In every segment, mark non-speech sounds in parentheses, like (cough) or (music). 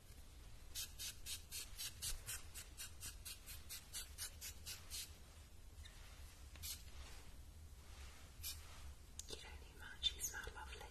You don't need much, you smell lovely.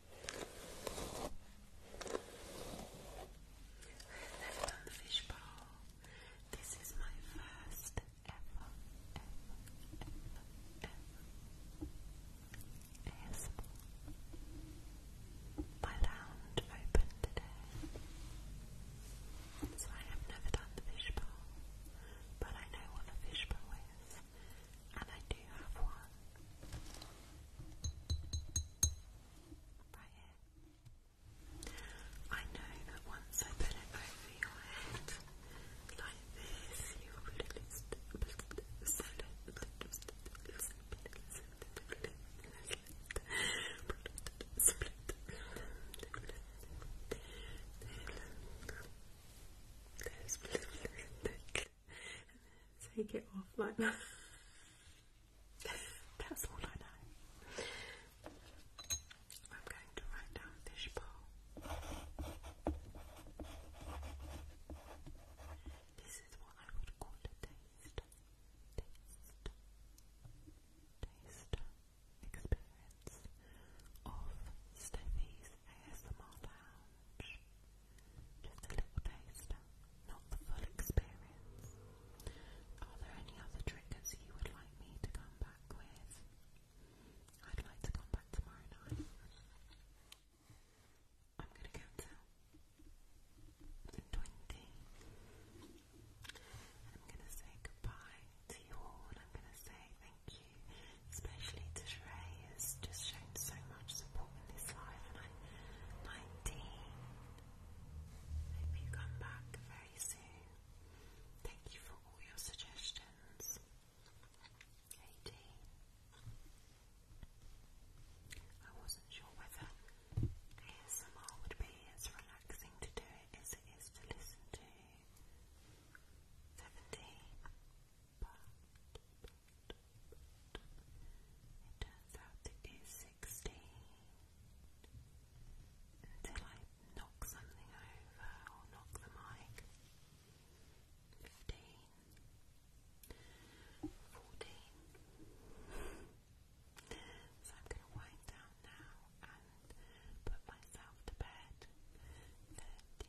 I've never done the fishbowl. This is my first ever, ever, ever, ever ASMR. My opened today. So I have never done the fishbowl. But I know what a fishbowl is. And I do have one right here. I know that once I put it over your head like this, you will lose so (laughs) take it off like that. (laughs) That's all I know. I'm going to write down fishbowl. This is what I would call a taste. Taste. Taste experience of Steffi's ASMR Lounge. Just a little taster, not the full experience. Are there any other triggers you would like me to come back with? I'd like to come back tomorrow night. I'm gonna count out to twenty. I'm gonna say goodbye to you all. I'm gonna say thank you especially to has just shown so much support in this live. And i 19. Hope you come back very soon. Thank you for all your suggestions. 18. I wasn't sure whether ASMR would be as relaxing to do it as it is to listen to. 17. It turns out it is 16. Until I knock something over or knock the mic. 15. So I'm going to wind down now and put myself to bed. 13.